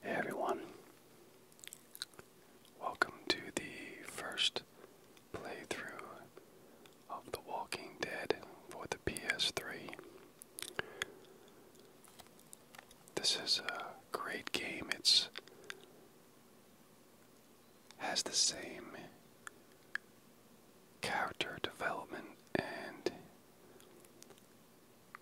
Hey everyone, welcome to the first playthrough of The Walking Dead for the PS3. This is a great game. It's has the same character development and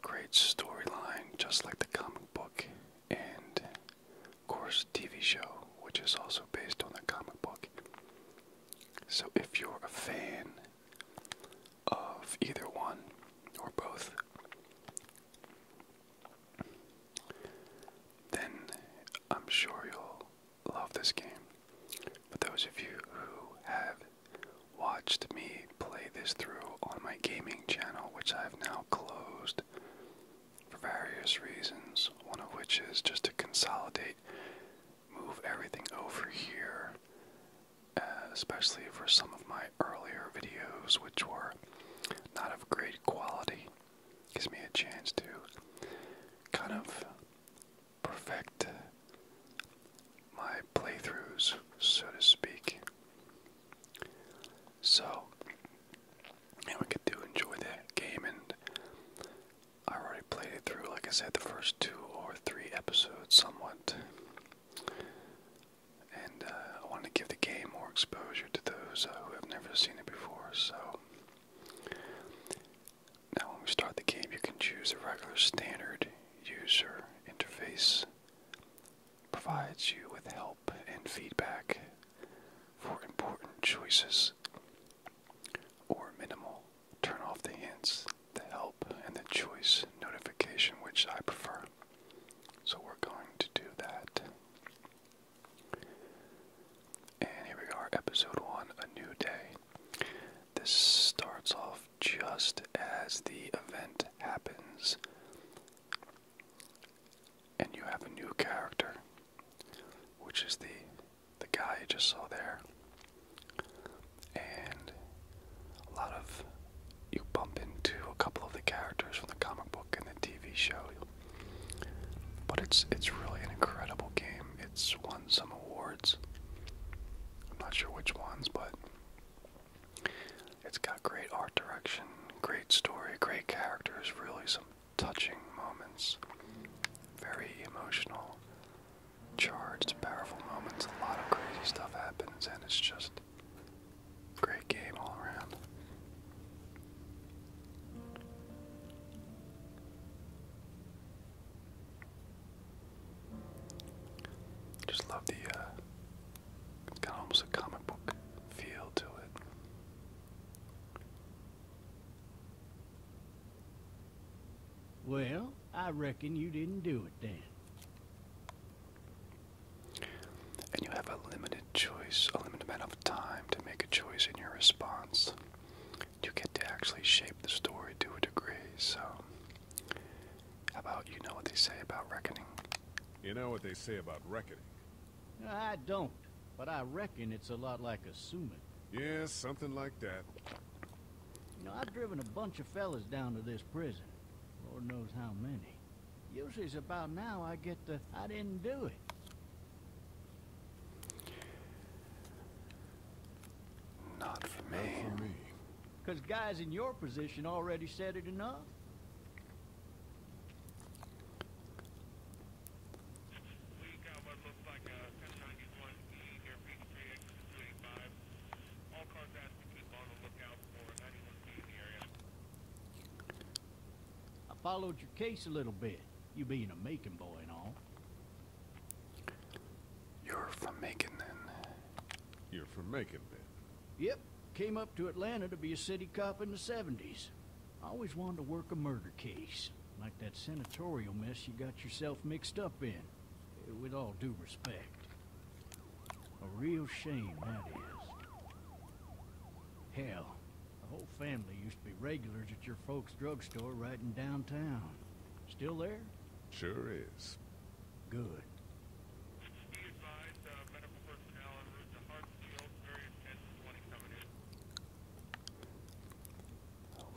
Great storyline, just like the comic book, and of course, TV show, which is also based on the comic book. So, if you're a fan of either one or both, then I'm sure you'll love this game. But those of you who have watched me play this through on my gaming channel, which I've now closed for various reasons, one of which is just to consolidate, move everything over here, uh, especially for some of my earlier videos, which were not of great quality. Gives me a chance to kind of perfect my playthroughs, so to speak. So, and we get to enjoy that game, and I already played it through, like I said, the first two or three episodes somewhat. And uh, I wanted to give the game more exposure to those uh, who have never seen it before, so. Now, when we start the game, you can choose the regular standard user interface provides you with help and feedback for important choices, or minimal. Turn off the hints, the help, and the choice notification, which I prefer. So we're going to do that. And here we are, episode one A New Day. This starts off just as the event happens. And you have a new character, which is the the guy you just saw there. And a lot of you bump into a couple of the characters from the comic book and the TV show. But it's it's really an incredible game. It's won some awards. I'm not sure which ones, but it's got great art direction, great story, great characters, really some touching moments. Very emotional, charged, powerful moments. A lot of crazy stuff happens, and it's just great game all around. Just love the uh, it's got almost a comic book feel to it. Well, I reckon you didn't do it then. And you have a limited choice, a limited amount of time to make a choice in your response. You get to actually shape the story to a degree, so how about you know what they say about reckoning? You know what they say about reckoning? I don't, but I reckon it's a lot like assuming. Yes, something like that. You know, I've driven a bunch of fellas down to this prison. Lord knows how many. Usually it's about now I get to. I didn't do it. Not for me. Because guys in your position already said it enough. I followed your case a little bit, you being a making boy and all. You're from making then? You're from making then? Yep, Came up to Atlanta to be a city cop in the 70s. always wanted to work a murder case, like that senatorial mess you got yourself mixed up in. With all due respect. A real shame, that is. Hell, the whole family used to be regulars at your folks' drugstore right in downtown. Still there? Sure is. Good.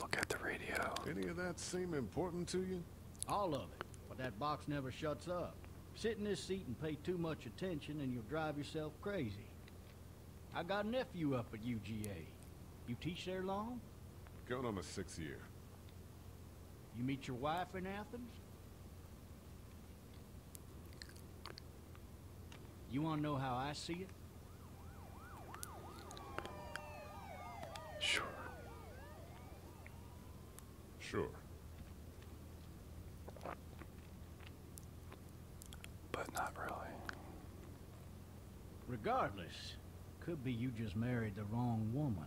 Look at the radio. Any of that seem important to you? All of it, but that box never shuts up. Sit in this seat and pay too much attention and you'll drive yourself crazy. I got a nephew up at UGA. You teach there long? Going on the sixth year. You meet your wife in Athens? You want to know how I see it? Sure. Sure. But not really. Regardless, could be you just married the wrong woman.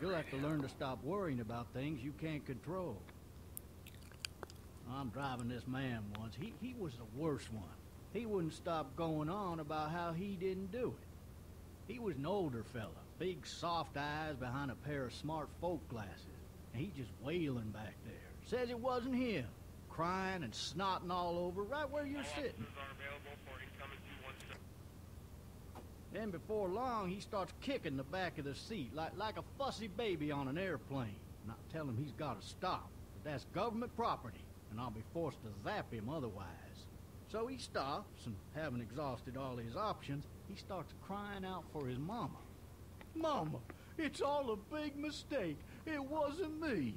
You'll have to learn to stop worrying about things you can't control. I'm driving this man once. He, he was the worst one. He wouldn't stop going on about how he didn't do it. He was an older fella, big soft eyes behind a pair of smart folk glasses. And he just wailing back there. Says it wasn't him. Crying and snotting all over right where you're sitting. Then before long, he starts kicking the back of the seat like, like a fussy baby on an airplane. And I tell him he's got to stop, but that's government property, and I'll be forced to zap him otherwise. So he stops, and having exhausted all his options, he starts crying out for his mama. Mama, it's all a big mistake. It wasn't me.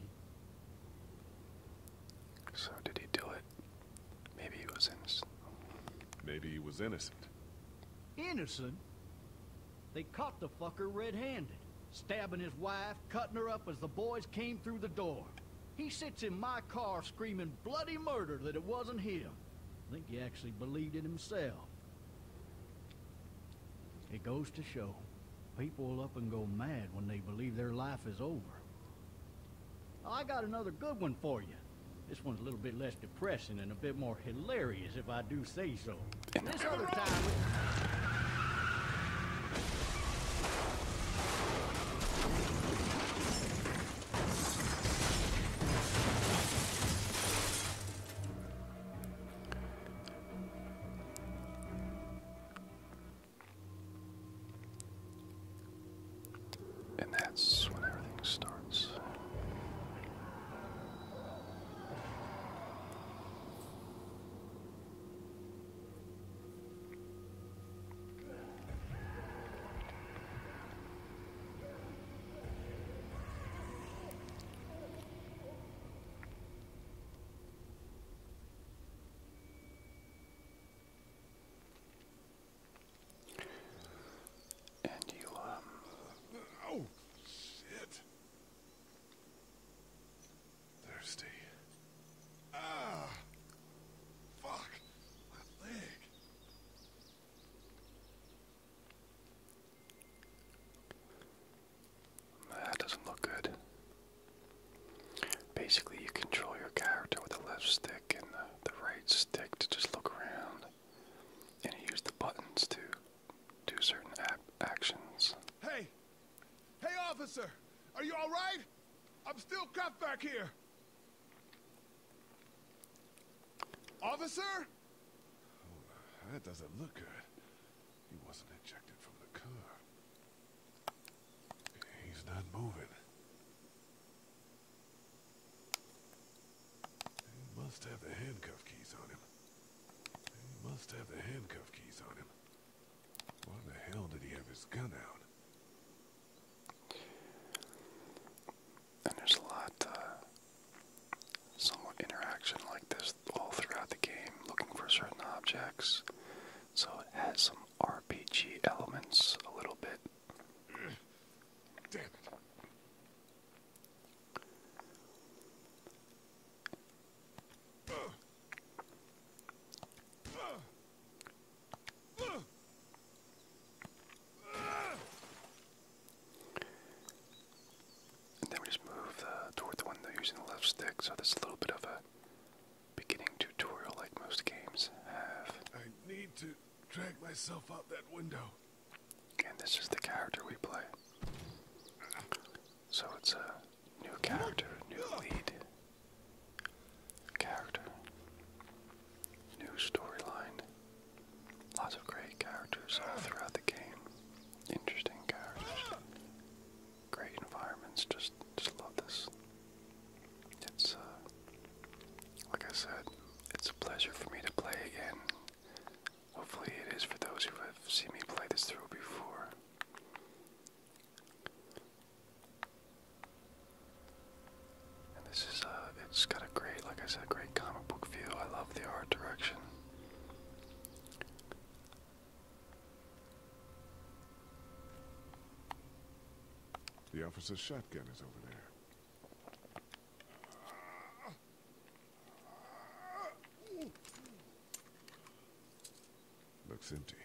So did he do it? Maybe he was innocent. Maybe he was innocent. Innocent? They caught the fucker red-handed, stabbing his wife, cutting her up as the boys came through the door. He sits in my car screaming bloody murder that it wasn't him. I think he actually believed it himself. It goes to show, people will up and go mad when they believe their life is over. I got another good one for you. This one's a little bit less depressing and a bit more hilarious, if I do say so. And that's when everything starts. And you, um. Oh, shit! Thirsty. Ah! Fuck! My leg! That doesn't look good. Basically, you control your character with the left stick and the, the right stick to just look around and he used the buttons to do certain actions. Hey, hey, officer, are you all right? I'm still cop back here. Officer? Oh, that doesn't look good. He wasn't ejected from the car. He's not moving. He must have the handcuff keys on him. He must have the handcuff keys on him. Why the hell did he have his gun out? And there's a lot, uh, somewhat interaction like this all throughout the game, looking for certain objects. So it has some RPG elements a little bit. And then we just move toward the one using the left stick, so that's a little bit of a beginning tutorial like most games have. I need to drag myself out that window. And this is the character we play. So it's a new character, new lead character, new storyline. Lots of great characters throughout the game. Interesting characters. Great environments. Just just love this. It's uh like I said, it's a pleasure for me to play again Hopefully, it is for those who have seen me play this through before. this is a, uh, it's got a great, like I said, great comic book feel. I love the art direction. The officer's shotgun is over there. Looks empty.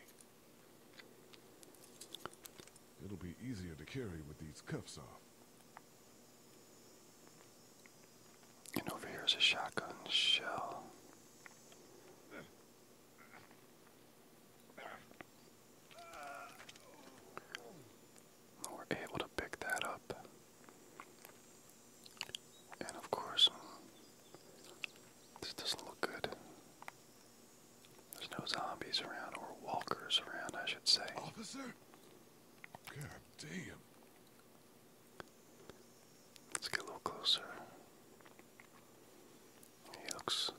It'll be easier to carry with these cuffs off. And over here is a shotgun shell. We're able to pick that up. And of course, this doesn't look good. There's no zombies around, or walkers around, I should say. Officer? God Let's get a little closer. He looks.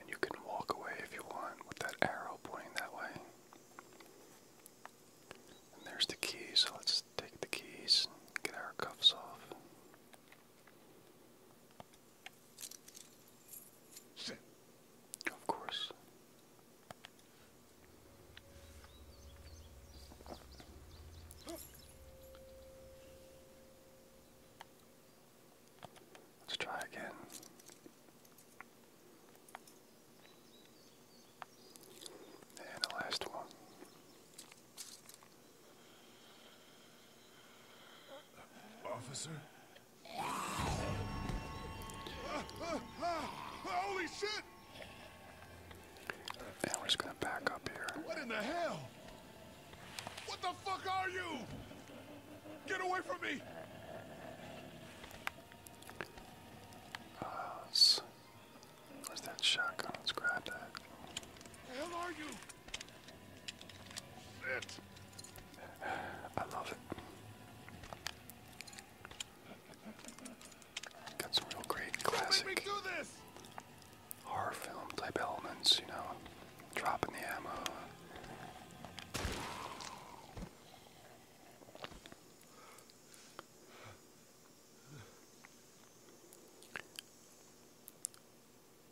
And you can walk away if you want with that arrow pointing that way there's the key, so let's take the keys get our cuffs off. Sit. Of course. Let's try again. And the last one. Officer? Holy shit! And we're just gonna back up here. What in the hell? What the fuck are you? Get away from me! Uh, let that shotgun? Let's I love it. Got some real great classic horror film type elements, you know, dropping the ammo.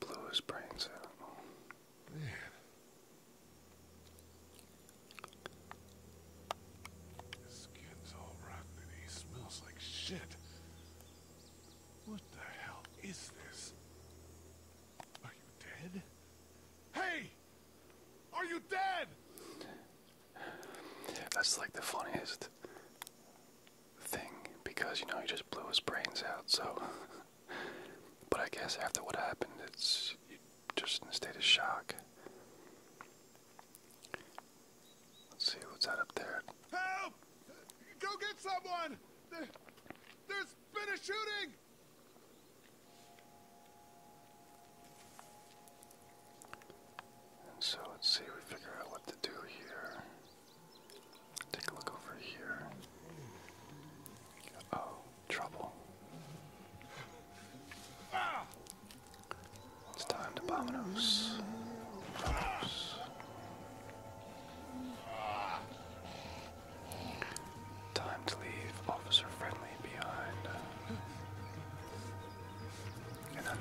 Blew his brains out. Man. His skin's all rotten and he smells like shit. What the hell is this? Are you dead? Hey! Are you dead? That's like the funniest thing because you know he just blew his brains out. So, but I guess after what happened, it's just in a state of shock. Let's see what's that up there. Help! Go get someone! There, there's been a shooting! And so let's see, we figure out what to do here. Take a look over here. oh, trouble. It's time to Bominos. Bominos. Time to leave Officer Friendly behind. Uh, and I'm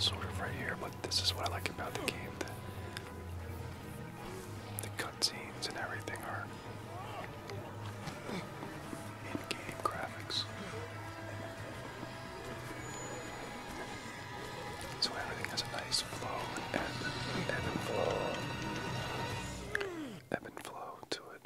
sort of right here, but this is what I like about the game. The, the cutscenes and everything are in-game graphics. So everything has a nice flow and ebb and flow ebb and flow to it.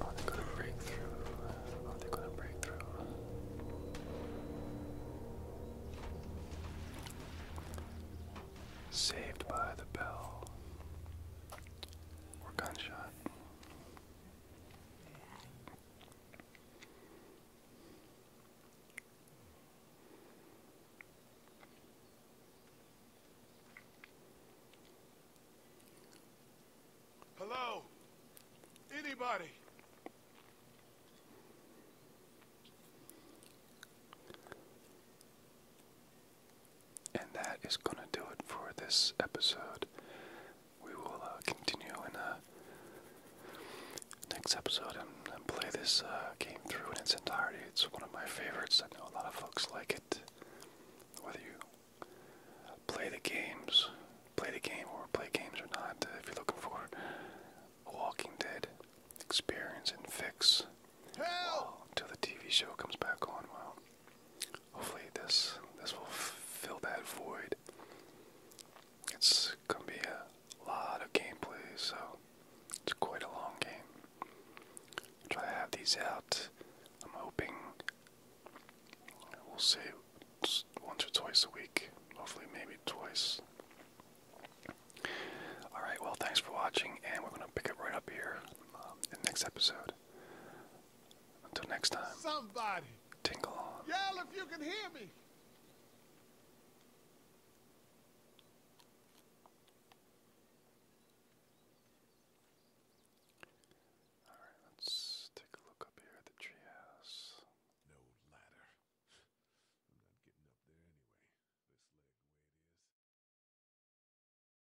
Are they gonna break Are they gonna break Saved by the bell gunshot. Hello? Anybody? And that is going to do it for this episode. We will uh, continue in the uh, next episode and, play this uh, game through in its entirety. It's one of my favorites. I know a lot of folks like it. Whether you play the games, play the game, or play games or not, if you're looking for a Walking Dead experience and fix until the TV show comes back on, well hopefully this this will fill that void. It's gonna be a lot of gameplay, so it's quite a long game. i try to have these out. I'm hoping we'll see once or twice a week. Hopefully, maybe twice. Alright, well, thanks for watching, and we're going to pick it right up here um, in the next episode. Until next time. Somebody. Tingle on. Yell if you can hear me. All right, let's take a look up here at the treehouse. No ladder. I'm not getting up there anyway. This leg where it is.